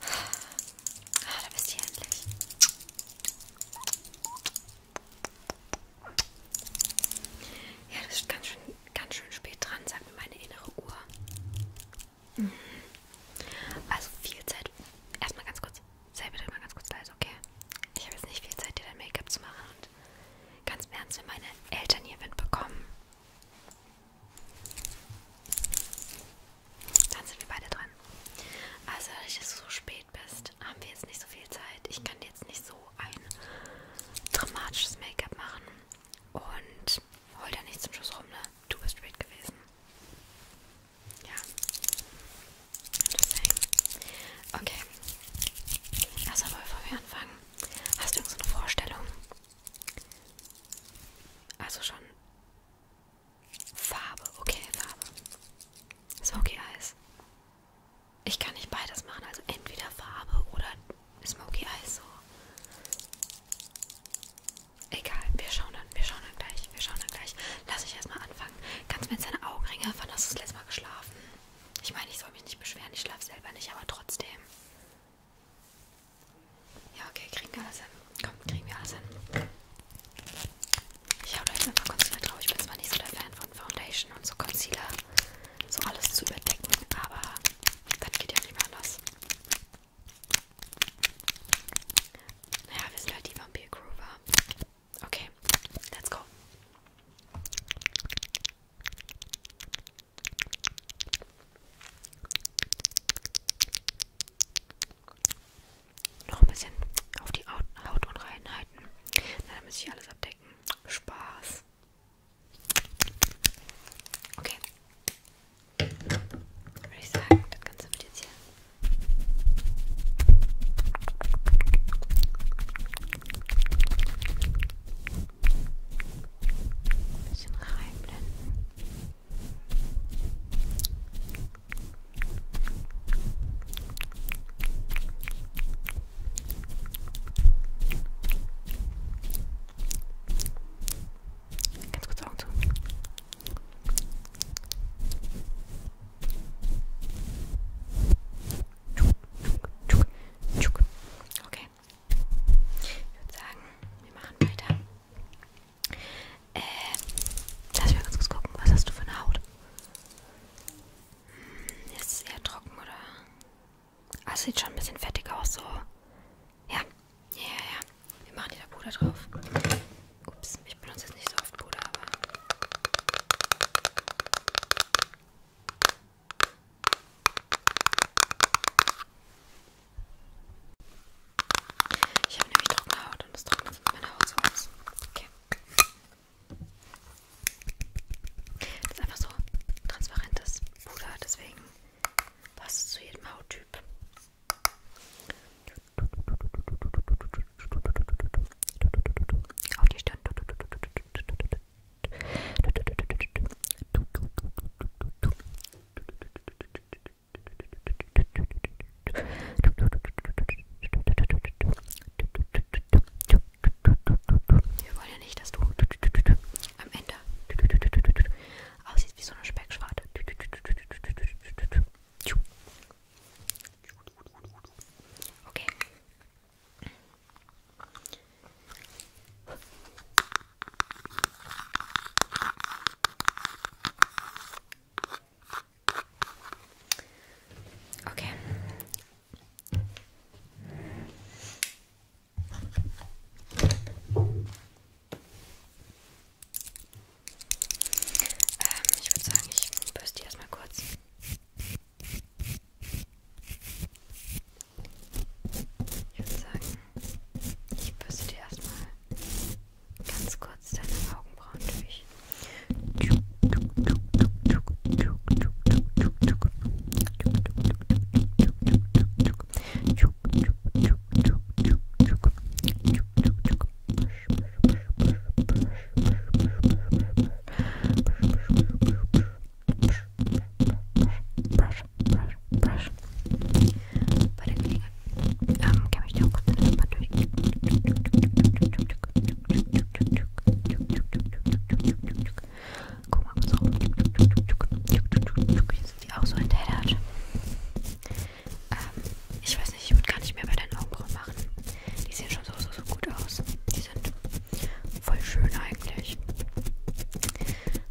Ah, da bist du endlich. Ja, das ist ganz schön, ganz schön spät dran, sagt mir meine innere Uhr. Mhm. Also viel Zeit. Erstmal ganz kurz. Sei bitte mal ganz kurz leise, okay? Ich habe jetzt nicht viel Zeit, dir dein Make-up zu machen. Und ganz im ernst, wenn meine Eltern hier Wind bekommen. Dann sind wir beide dran. Also, da ich jetzt so spät bist, haben wir jetzt nicht so viel Zeit. Ich kann jetzt nicht so ein dramatisches Make-up machen. Und hol da nicht zum Schluss rum, ne? Du bist spät gewesen. Ja. Deswegen. Okay. Also, aber bevor wir anfangen, hast du irgendeine so Vorstellung? Also schon Farbe, okay, Farbe. Smoky Eyes. Ich kann nicht beides machen, also entweder Farbe oder Smoky Eyes so. Egal, wir schauen dann, wir schauen dann gleich, wir schauen dann gleich. Lass ich erstmal anfangen. Kannst mir jetzt deine Augenringe, wann hast du das letzte Mal geschlafen? Ich meine, ich soll mich nicht beschweren, ich schlafe selber nicht, aber trotzdem. Ja, okay, kriegen wir alles hin. Komm, kriegen wir alles hin. Ich hau da jetzt einfach Concealer drauf. Ich bin zwar nicht so der Fan von Foundation und so Concealer, so alles zu überdecken, aber das geht ja nicht mehr anders. Naja, wir sind halt die Vampir Groover. Okay, let's go. Noch ein bisschen auf die Haut unreinheiten. Dann muss ich alles abdecken. Spaß. Okay. Würde ich sagen, das Ganze wird jetzt hier. Ein bisschen reinblenden. Ganz kurz Augen zu. Okay. Ich würde sagen, wir machen weiter. Äh, lass mich ganz kurz gucken, was hast du für eine Haut? Hm, ist es eher trocken, oder? Ah, sieht schon ein bisschen fettig aus, so. Ja, ja, ja, ja. Wir machen wieder Puder drauf. Ups, ich benutze jetzt nicht so oft Puder, aber... Ich habe nämlich trockene Haut und das trocknet meine Haut so aus. Okay. Das ist einfach so transparentes Puder, deswegen passt es zu jedem Hauttyp. Auf die Stirn. Wir wollen ja nicht, dass du am Ende aussiehst wie so eine Speckschwarte. Okay. Okay. Ähm, ich würde sagen, ich bürste die erstmal kurz. Ich würde sagen, ich bürste die erstmal ganz kurz deine Augenbrauen durch. Brush, brush, brush. Bei der ähm, kann ich dir auch kurz das mal durch. Guck mal kurz rum. Hier sind die auch so entellert. Ähm, ich weiß nicht, ich würde gar nicht mehr bei deinen Augenbrauen machen. Die sehen schon so, so, so gut aus. Die sind voll schön eigentlich.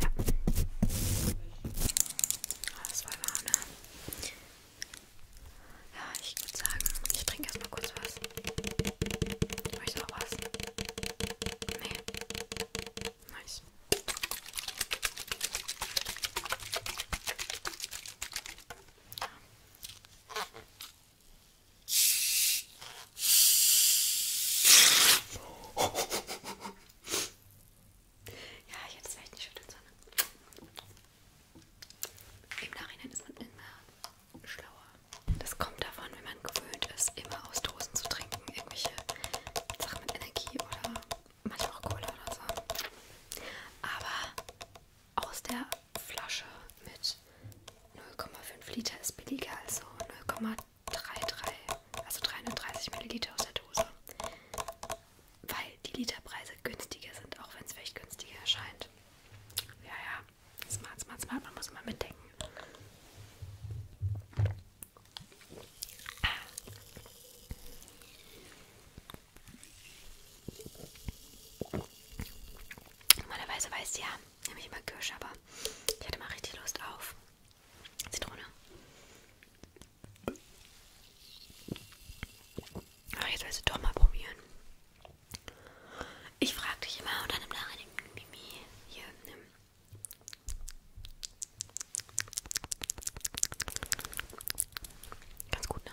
Ja. Ah, das war wahr, ne? Ja, ich würde sagen, ich trinke erstmal kurz was. Ich möchte auch was. Nee. Nice. Ja, ich hätte es vielleicht nicht schütteln sollen. Im Nachhinein ist man immer schlauer. Das kommt davon, wenn man gewöhnt ist, immer aus Dosen zu trinken. Irgendwelche Sachen mit Energie oder manchmal auch Cola oder so. Aber aus der Flasche mit 0,5 Liter ist billiger, also 0,33, also 330 Milliliter aus der Dose weil die Literpreise günstiger sind, auch wenn es vielleicht günstiger erscheint. Ja, ja, smart, smart, smart, man muss immer mitdenken. Normalerweise weiß ja, nehme ich immer Kirsch, aber ich hatte mal richtig Lust auf Zitrone. Aber ah, jetzt willst du doch mal probieren. Ich frage dich immer und dann im Nachhinein Mimi hier nimm. Ganz gut, ne?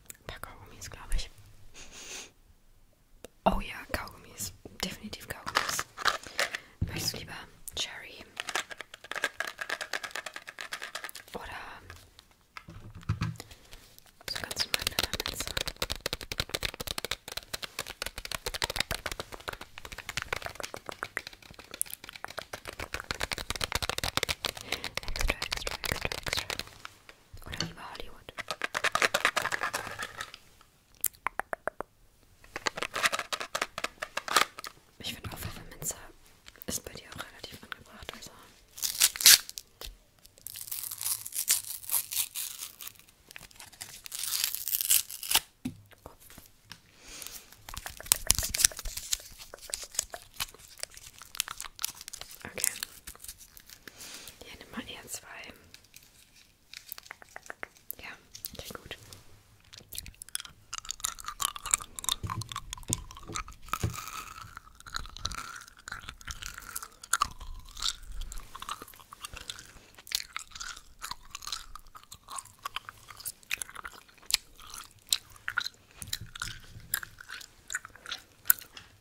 Paar Kaugummis, glaube ich. Oh ja, Kaugummis. Definitiv Kaugummis. Möchtest du lieber Cherry? Oder so ganz normale Lammelze? Extra, extra, extra, extra. Oder lieber Hollywood. Ich finde auch Pfefferminze ist bei dir auch relativ angebracht. Also. Okay. Hier nimm mal eher zwei. Ja, klingt gut.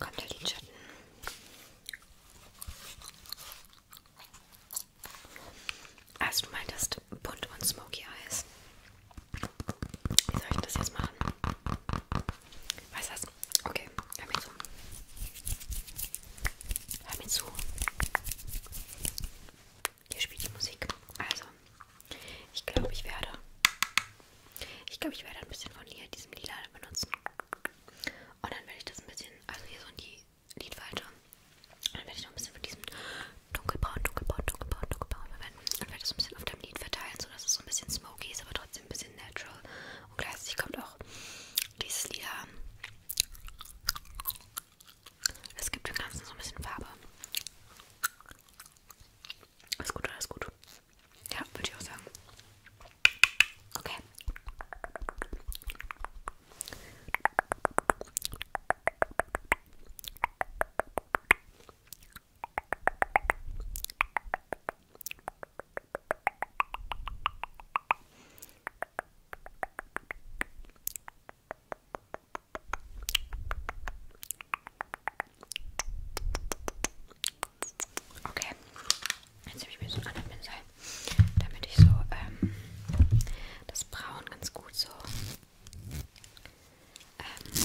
Kommt der Lidschatten. Also du meintest bunt und smoky Eyes. Wie soll ich das jetzt machen? Weißt du was? Okay, damit so. Hör mir zu. Hier spielt die Musik. Also, ich glaube, ich werde. Ich glaube, ich werde ein bisschen von hier diesem Lila benutzen. Und dann werde ich das ein bisschen. Also, hier so in die Lidfalte. Und dann werde ich noch ein bisschen von diesem dunkelbraun, dunkelbraun, dunkelbraun, dunkelbraun verwenden. Und werde das ein bisschen auf deinem Lid verteilen, sodass es so ein bisschen smoky ist, aber trotzdem ein bisschen natural. Und gleichzeitig kommt auch dieses Lila es gibt dem Ganzen so ein bisschen Farbe. Alles gut, alles gut. Ja, würde ich auch sagen. Okay. Okay, jetzt nehme ich mir so einen anderen Pinsel, damit ich so ähm, das Braun ganz gut so ähm,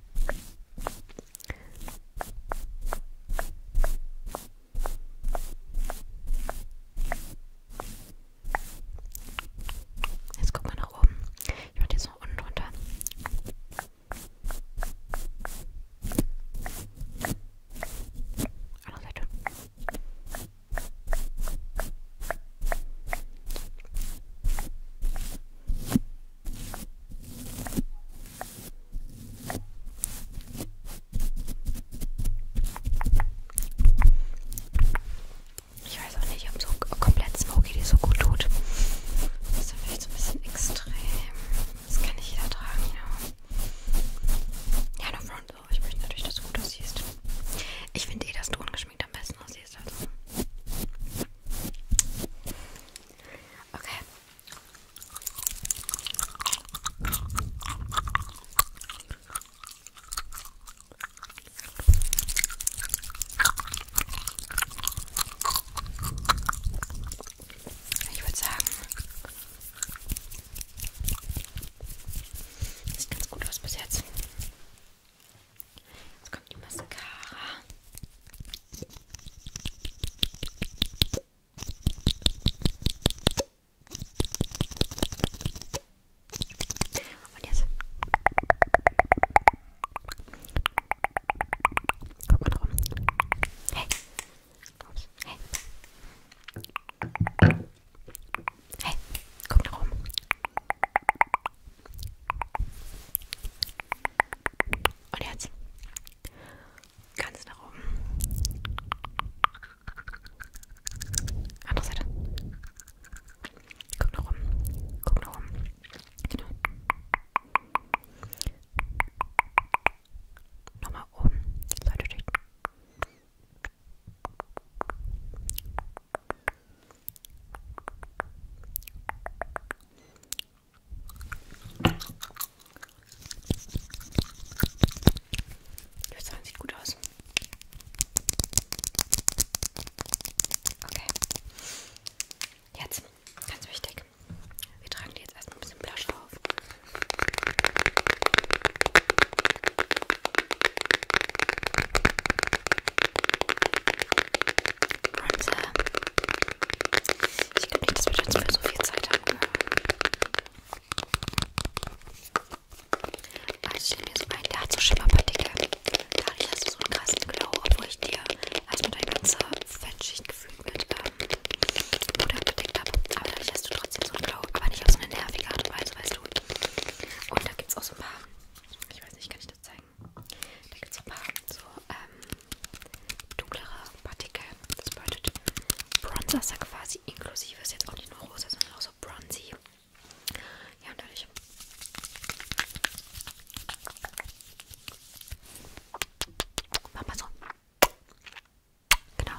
Jetzt guck mal nach oben. Ich mach jetzt noch unten runter. Andere ah, Seite. Ich weiß auch nicht, ob so komplett Smoky die so gut tut. Das ist vielleicht so ein bisschen extrem. Das kann nicht jeder tragen, ja. Ja, no front, though. Ich möchte natürlich, dass du gut aussiehst. Ich finde eh, dass du ungeschminkt geschminkt am besten aussiehst. Also. Okay. Ich würde sagen, sieht ganz gut aus bis jetzt. Jetzt kommt die Mascara. Und jetzt. Guck mal drum. Hey. Ups. Hey. Hey, guck da rum. Und jetzt ganz nach oben. Andere Seite. Guck nach oben. Guck nach oben. Genau. Nochmal oben. Leute durch. Das sieht gut aus. Okay. Jetzt, ganz wichtig. Wir tragen die jetzt erstmal ein bisschen Blush auf. Und äh, ich glaube nicht, dass wir jetzt mehr so viel Zeit haben. Also ich mir so ein, der hat so Schimmerpartikel. Dadurch hast du so einen krassen Glow, obwohl ich dir erstmal deine ganze Fettschicht gefühlt mit ähm, Puder bedeckt habe. Aber dadurch hast du trotzdem so einen Glow, aber nicht auf so eine nervige Art und Weise, weißt du. Und da gibt es auch so ein paar, ich weiß nicht, kann ich das zeigen? Da gibt es ein paar so ähm, dunklere Partikel. Das bedeutet Bronzer ist da quasi inklusive. Ist jetzt auch nicht nur rosa, sondern auch so bronzy. Ja, und dadurch. Mach mal so. Genau.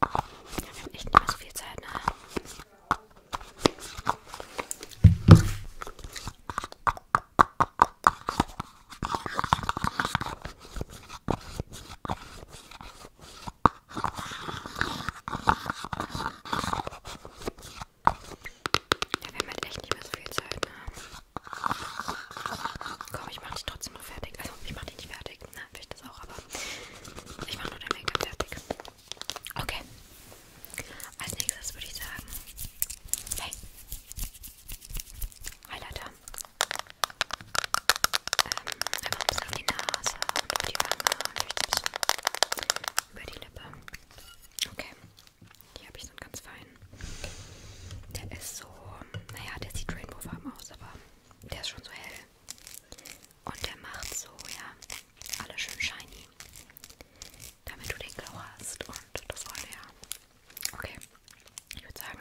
Wir haben echt nicht mehr so viel Zeit, ne? Ja, wir haben halt echt nicht mehr so viel Zeit, ne? Komm, ich mach dich trotzdem noch fertig. Also, ich mach dich nicht fertig, ne? habe ich das auch, aber ich mache nur den Make-up fertig. Okay. Als nächstes würde ich sagen, hey, Highlighter. Ähm, einfach ein bisschen auf die Nase und auf die Wange und vielleicht ein bisschen über die Lippe. Okay. Hier habe ich so einen ganz feinen. Der ist so, naja, der sieht rainbowfarben aus, aber der ist schon so hell. Und der macht so, ja, alle schön shiny. Damit du den Glow hast und das sollte ja. Okay, ich würde sagen,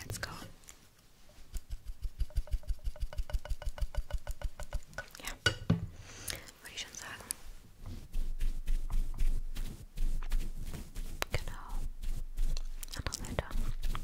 let's go. Ja, würde ich schon sagen. Genau. Andere Seite.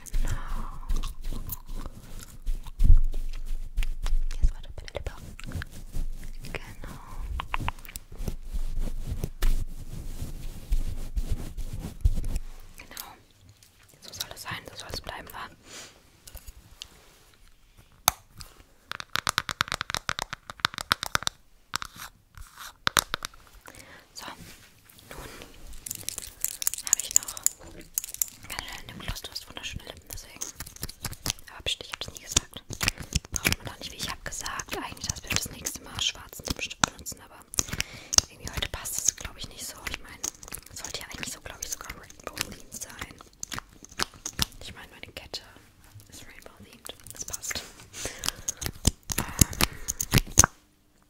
Genau. Jetzt warte bitte lieber. Genau. Genau. So soll es sein, so soll es bleiben, war. So, nun habe ich noch ganz schnell in dem Gloss. Du hast wunderschöne Lippen, deswegen. Aber bestimmt, ich habe das nie gesagt. Braucht man doch nicht, wie ich habe gesagt. Eigentlich, dass wir das nächste Mal schwarzen Lippenstift benutzen, aber irgendwie heute passt es, glaube ich, nicht so. Ich meine, es sollte ja eigentlich so, glaube ich, sogar Rainbow-themed sein. Ich meine, meine Kette ist Rainbow-themed. Das passt. Ähm,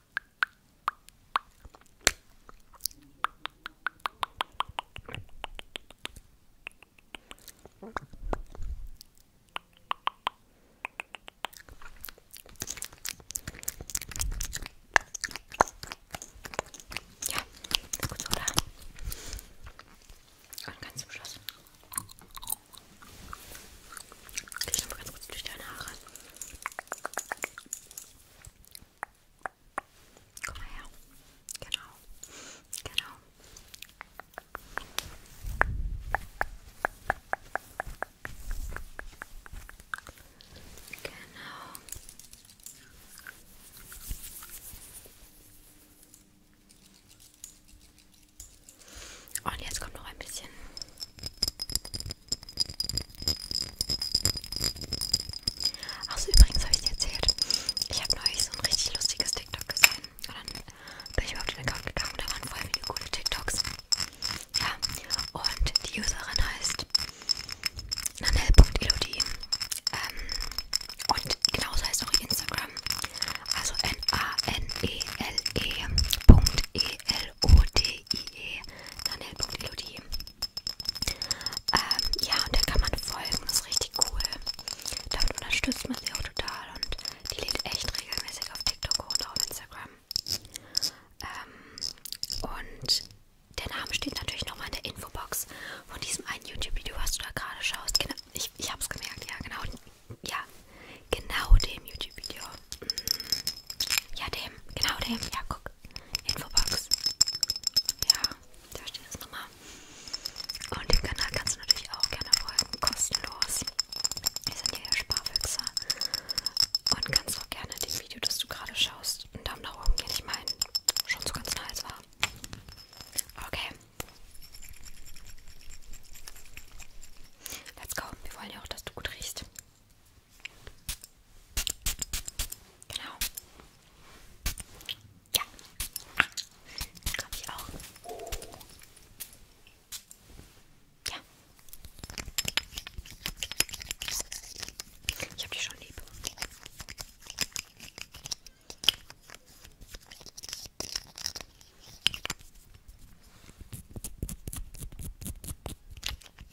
Ja, ist gut, oder? Und ganz zum Schluss. Ich nehme ganz kurz durch deine Haare. Komm mal her. Genau. Genau. Genau. Und jetzt kommt noch ein bisschen Achso, übrigens habe ich dir erzählt, ich habe neulich so ein richtig lustiges TikTok gesehen. Und dann bin ich auf den Account gegangen und da waren voll viele coole TikToks. Ja, und die Userin heißt nanel.elodie. Ähm, und genauso heißt auch ihr Instagram. Also n a n e l e. P-L-O-D-I-E, Daniel.melodie. Ähm, ja, und da kann man folgen, das ist richtig cool. Damit unterstützt man sie auch total und die lädt echt regelmäßig auf TikTok und auf Instagram. Ähm, und der Name steht natürlich nochmal in der Infobox von diesem einen YouTube-Video, was du da gerade schaust. Genau, ich ich habe es gemerkt, ja, genau. Ja, genau dem YouTube-Video. Ja, dem. Genau dem. Ja, guck. Infobox. Ja, da steht das nochmal. Und den Kanal kannst du natürlich auch gerne folgen. Kostenlos. Wir sind ja Sparfüchse. Und kannst auch gerne dem Video, das du gerade schaust, einen Daumen nach oben geben. Ich meine, schon so ganz nice war. Okay. Let's go. Wir wollen ja auch, dass du gut riechst. Genau. Ja. Glaube ich auch. Ja. Ich hab dich schon lieb.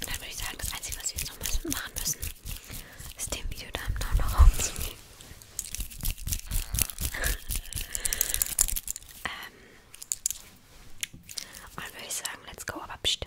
Dann würde ich sagen, das Einzige, was wir jetzt noch machen müssen, ist dem Video da noch rumzugeben. ähm. Und würde ich sagen, let's go, aber pst